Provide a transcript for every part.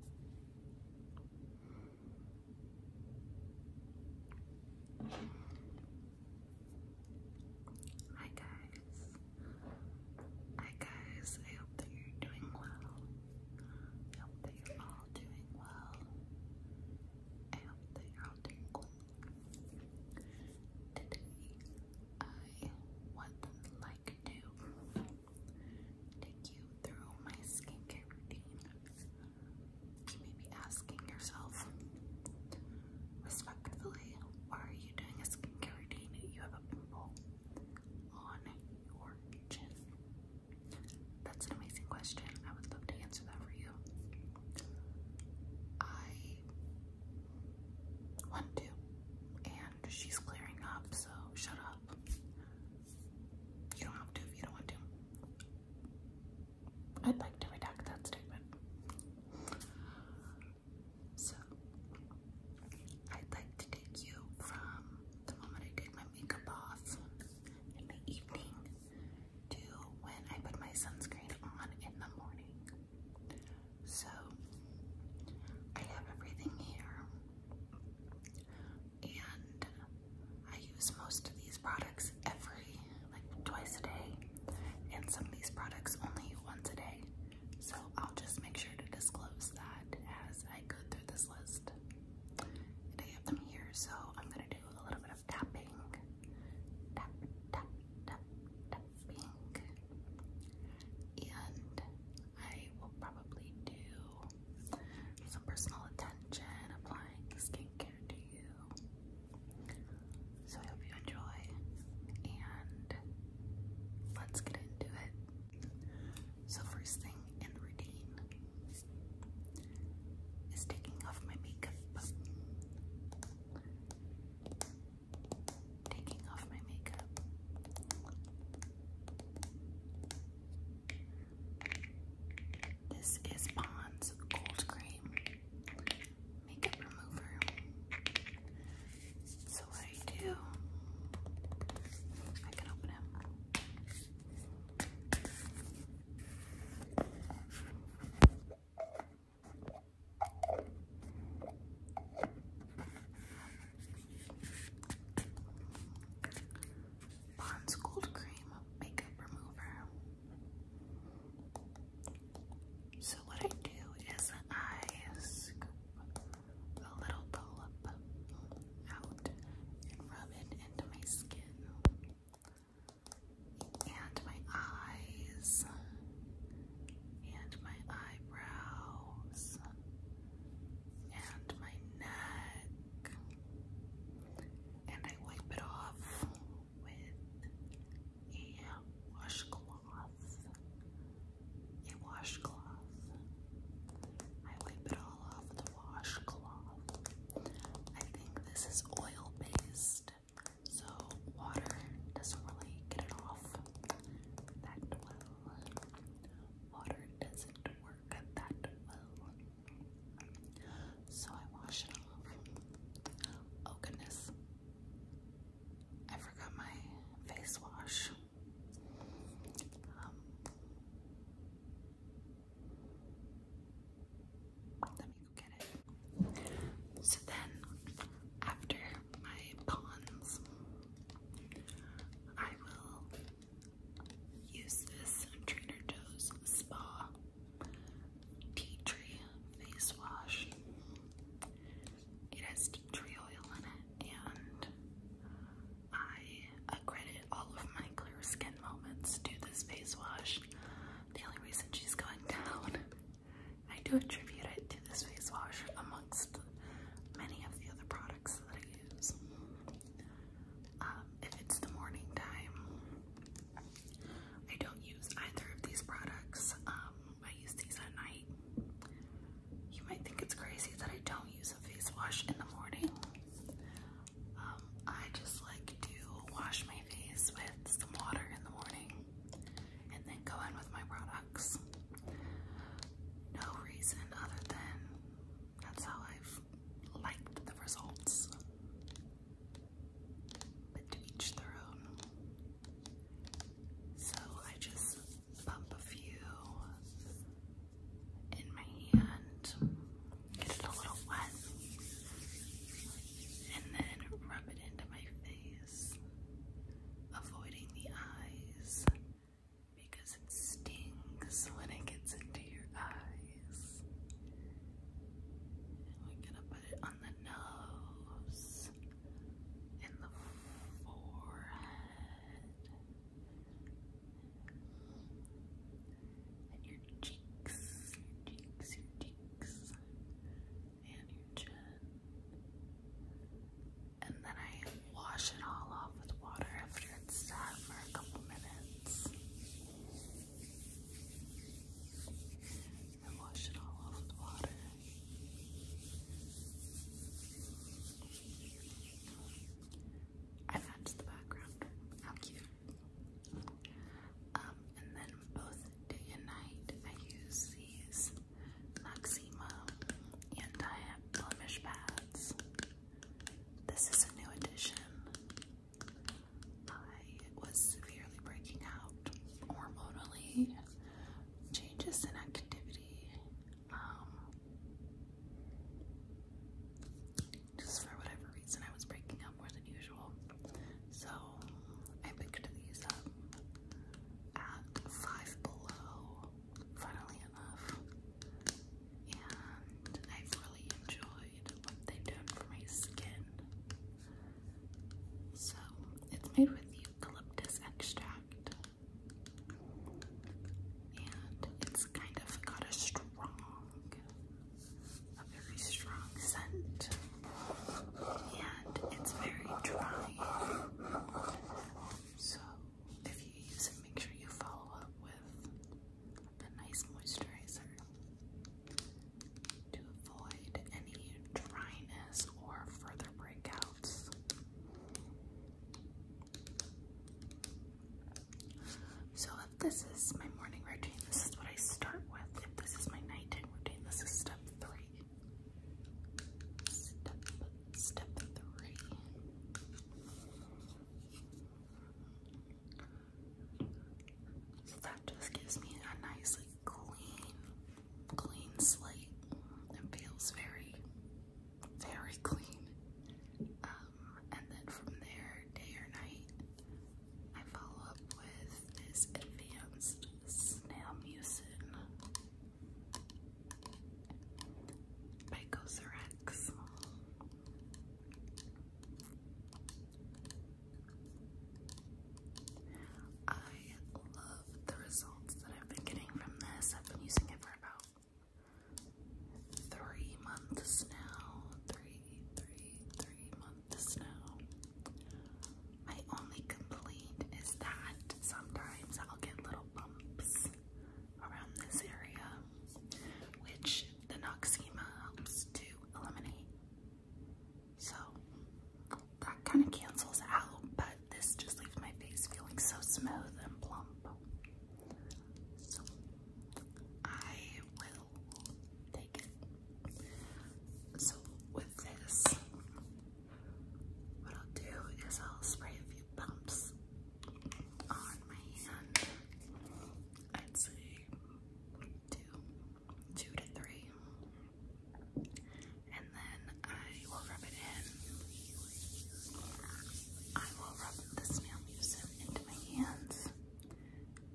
Hi guys. Hi guys. I hope that you're doing well. I hope that you're all doing well. I that you're all doing well. Today I would like to take you through my skincare routine. You may be asking yourself, respectfully, why are you doing a skincare routine? You have a pimple on your chin. That's an amazing question. I would love to answer that for you. I want to, and she's clearing up, so shut up. You don't have to if you don't want to. I'd like to redact that statement. So, I'd like to take you from the moment I did my makeup off in the evening to when I put my sunscreen on in the morning. So, I have everything here and I use most of these products every like twice a day and some of these products only once a day so I'll just make sure to disclose that as I go through this list I have them here so I'm gonna do a little bit of tapping tap tap tap tapping and I will probably do some personal attention applying skincare to you. So I hope you enjoy and let's get into it. So first thing in the routine is taking off my makeup. Taking off my makeup. This is Pond's Gold Cream Makeup Remover. So what I do, I can open him. Pond's Gold Cream Makeup Remover. So what I do is I scoop a little dollop out and rub it into my skin and my eyes and my eyebrows and my neck, and I wipe it off with a washcloth. A washcloth. I wipe it all off with washcloth. I think this is oil based, so water doesn't really get it off that well. Water doesn't work work that So I wash it off. Oh goodness. I forgot my face wash. Um, let me go get it. So then, after my pawns, I will Use this trainer Joe's Spa Tea Tree Face Wash. It has tea tree oil in it, and I accredit all of my clear skin moments to this face wash. The only reason she's going down, I do attribute it to this face wash amongst many of the other products that I use. Um, if it's the morning time, I don't use either of these products. Um, I use these at night. You might think it's crazy that I don't use a face wash in the morning. Um, I just like to wash my face with some water in the morning and then go in with my products. No reason other than that's how I've liked the results. But to each their own. So I just bump a few in my hand, get it a little wet, and then rub it into my face, avoiding the eyes because it stings when it gets into your eyes. And we're gonna put it on the nose and the forehead and your cheeks, cheeks, cheeks, and your chin and then I wash it all off with water after it's sat for a couple minutes. I wash the background. How cute. Um, and then both day and night I use these Noxema anti-blemish pads. This is a new edition. I was severely breaking out hormonally, changes in activity, um, just for whatever reason, I was breaking out more than usual. So I picked these up at Five Below funnily enough. And I've really enjoyed what they've for my skin. So it's made with eucalyptus extract. And it's kind of got a strong, a very strong scent. And it's very dry. So if you use it, make sure you follow up with a nice moisturizer to avoid any dryness or further breakouts. So this is my morning routine, this is what I start with. this is my nighttime routine, this is step three step three. So that just gives me a nice, clean, clean slate. It feels very, very clean. Um, and then from there, day or night, I follow up with this advanced snail mucin Pycocerex. I love the results that I've been getting from this. I've been using it for about three months now. Three, three, three months now. My only complaint is that sometimes I'll get little bumps around this area, which the Noxema helps to eliminate. So that kind of cancels out, but this just leaves my face feeling so smooth and plump. So I will take it. So with this, what I'll do is I'll spray a few bumps on my hand. I'd say two, two to three. And then I will rub it in. I will rub this nail mucin into my hands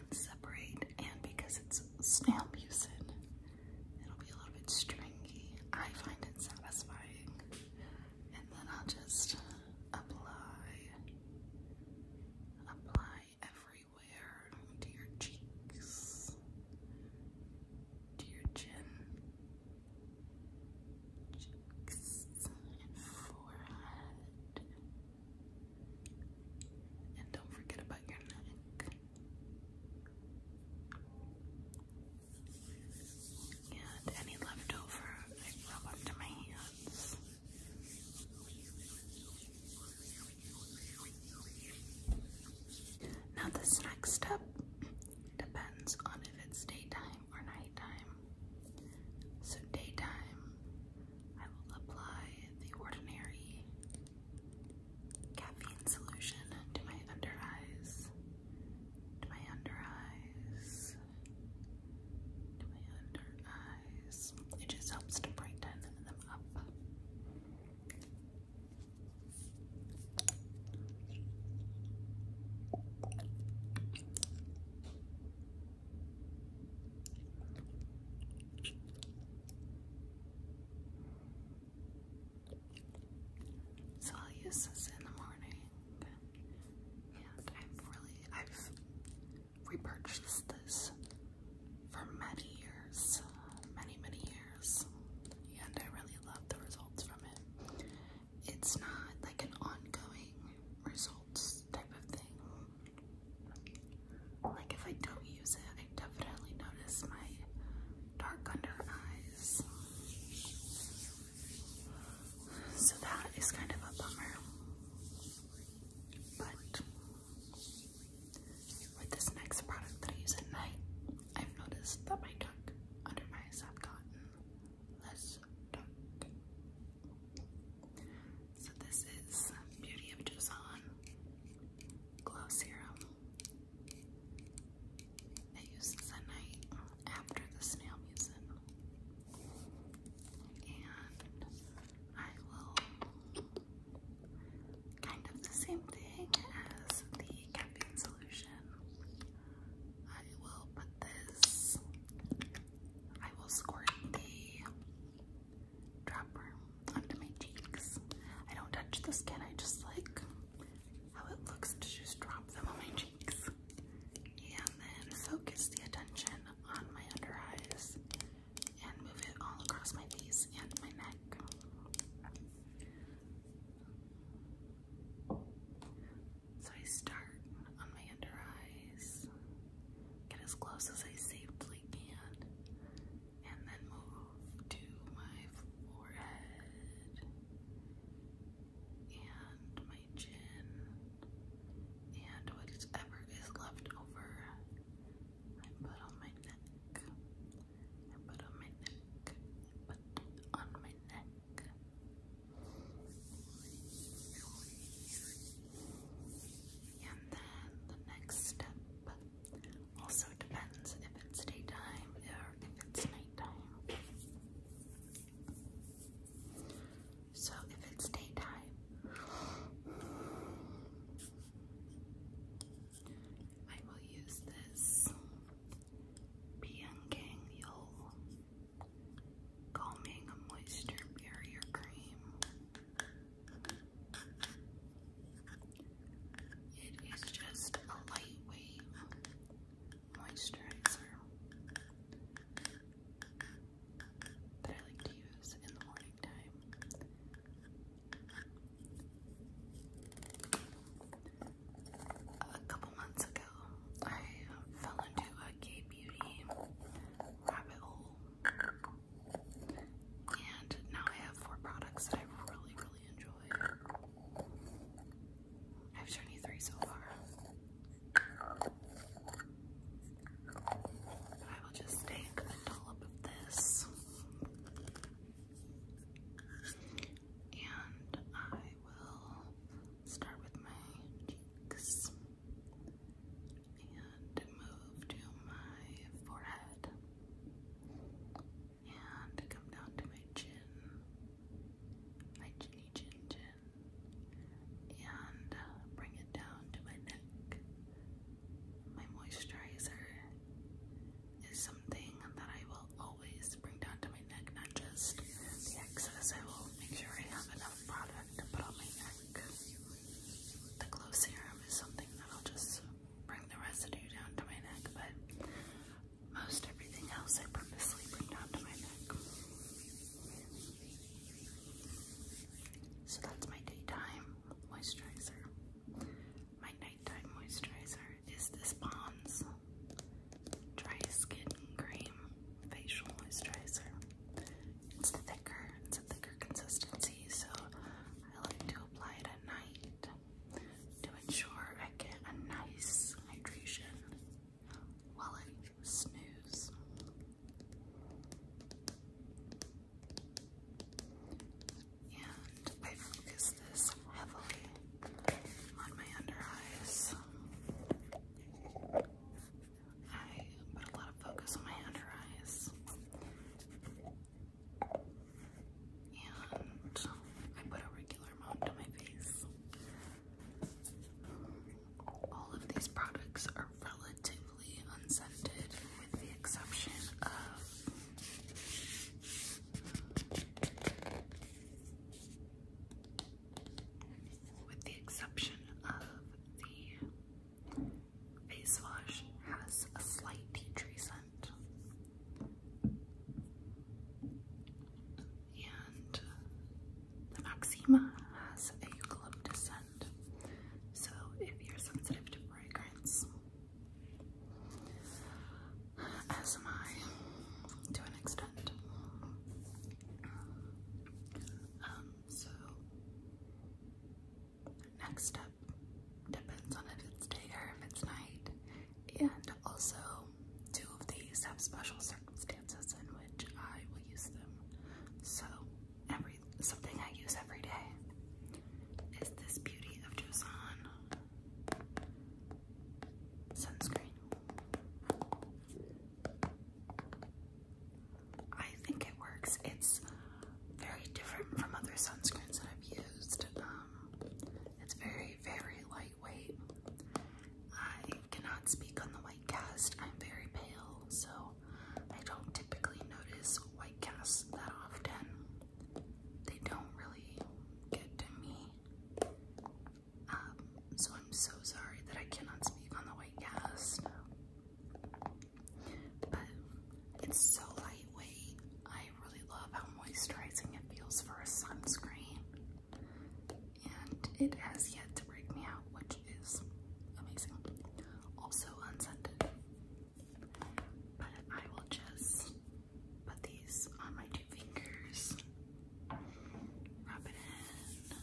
and separate. And because it's snail mucin, it'll be a little bit stringy. I find it satisfying and then I'll just apply, apply everywhere to your cheeks, to your chin, cheeks, and forehead, and don't forget about your neck. And any leftover, I rub onto my hands. Now, this next step depends on if it's daytime or nighttime. So, daytime, I will apply the ordinary caffeine solution to my under eyes to my under eyes, to my under eyes. It just helps to brighten them up. So I'll use this in the morning and I've really I've repurchased this for many years, many many years, and I really love the results from it. It's not like an ongoing results type of thing. Like if I don't use it, I definitely notice my dark under eyes. So that is kind of a bummer. But with this next product that I use at night, I've noticed that my dark under my eyes have gotten less dark. So this is Beauty of Joseon Glow Serum. I use this night after the snail mucin. And I will kind of the same thing as the caffeine solution. I will put this, I will squirt the dropper onto my cheeks. I don't touch the skin, I just like how it looks to just drop them on my cheeks. And then focus the attention on my under eyes and move it all across my face and my neck. So I start on my under eyes, get as close as I safely can, and then move to my forehead and my chin and whatever is left over I put on my neck. I put on my neck. I put on my neck. And then the next step also depends if it's daytime or if it's nighttime. So if it's daytime, I will use this Biangang Calming Moisture Barrier Cream. It is just a lightweight moisturizer that I like to use in the morning time. A couple months ago, I fell into a beauty rabbit hole, and now I have four products that I really, really enjoy. I've shown you three so far. I will just take a dollop of this. And I will start with my cheeks and move to my forehead and come down to my chin, my chinny chin chin, and uh, bring it down to my neck. My moisturizer is something that I will always bring down to my neck, not just the excess. I will make sure I have enough product to put on my neck. The glow serum is something that I'll just bring the residue down to my neck, but most everything else I purposely bring down to my neck. So that's my daytime moisturizer. My nighttime moisturizer is this Pond's Dry Skin Cream Facial Moisturizer. It's thicker, it's a thicker consistency, so I like to apply it at night sure I get a nice hydration while I snooze. And I focus this heavily on my under eyes. I put a lot of focus on my under eyes. And I put a all of these products are relatively unscented, with the exception of. With the exception of the face wash, has a slight tea tree scent. And the Maxima has a eucalyptus scent. So if you're sensitive to fragrance, as am I to an extent. Um, so next step depends on if it's day or if it's night. And also, two of these have special circumstances in which I will use them. So, every something I use every day is this Beauty of Joseon sunscreen. I think it works. It's very different from other sunscreens that I've used. Um, it's very, very light. I cannot speak on the White Cast. I'm very pale, so I don't typically notice White Casts that often. They don't really get to me. Um, so I'm so sorry that I cannot speak on the White Cast. But it's so lightweight. I really love how moisturizing it feels for a sunscreen and it has yet to break me out, which is amazing. Also unscented. But I will just put these on my two fingers, rub it in,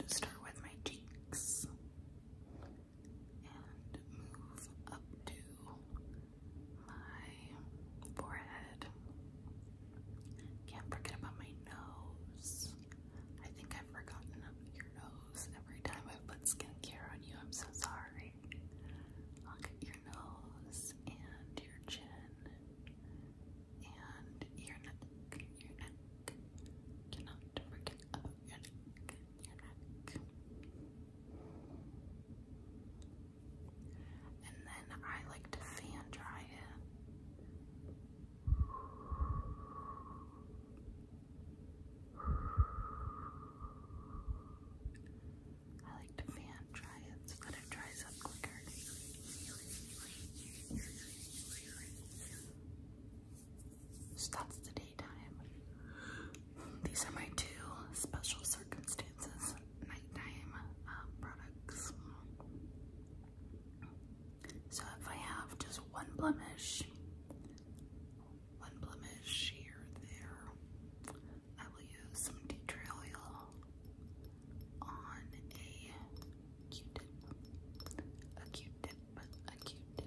and start with my cheeks and move up to my forehead. Can't forget about my nose. I think I've forgotten your nose every time I put skincare on you. I'm so sorry. Look at your nose and your chin and your neck. Your neck. Cannot forget your neck. Your neck and then I like to fan dry it. I like to fan dry it so that it dries up quicker. that's the daytime. These are my two special circumstances nighttime uh, products. So if I have just one blemish, one blemish here there, I will use some tea tree oil on a Q-tip, a Q-tip, a Q-tip.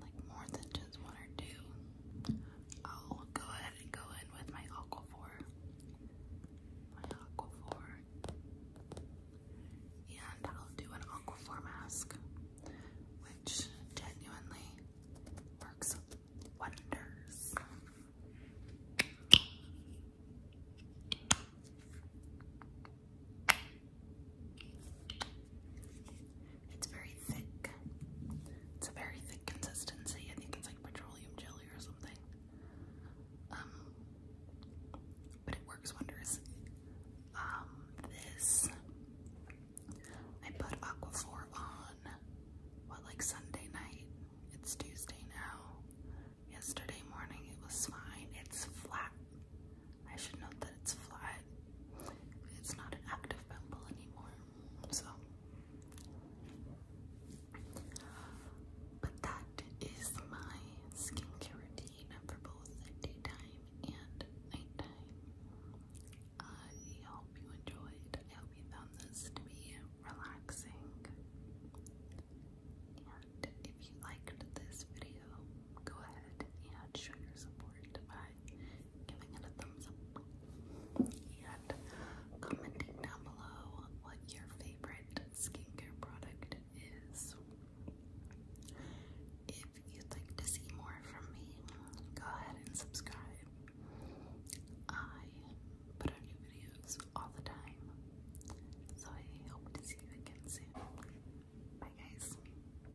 like more than just one or two, I'll go ahead and go in with my Aquaphor. My Aquaphor. And I'll do an Aquaphor mask, which genuinely works wonders. It's very thick. It's a very thick consistency. I think it's like petroleum jelly or something. Um, but it works wonders. Um, this I put Aquaphor on what like Sunday night. It's Tuesday now. Yesterday morning it was fine. It's flat. I should note that it's flat. It's not an active pimple anymore. So but that is my skincare routine for both daytime and nighttime. I hope you enjoyed. I hope you found this to be relaxing. And if you liked this video, go ahead and show your support by giving it a thumbs up and commenting down below what your favorite skincare product is. If you'd like to see more from me, go ahead and subscribe. I put out new videos all the time, so I hope to see you again soon. Bye, guys.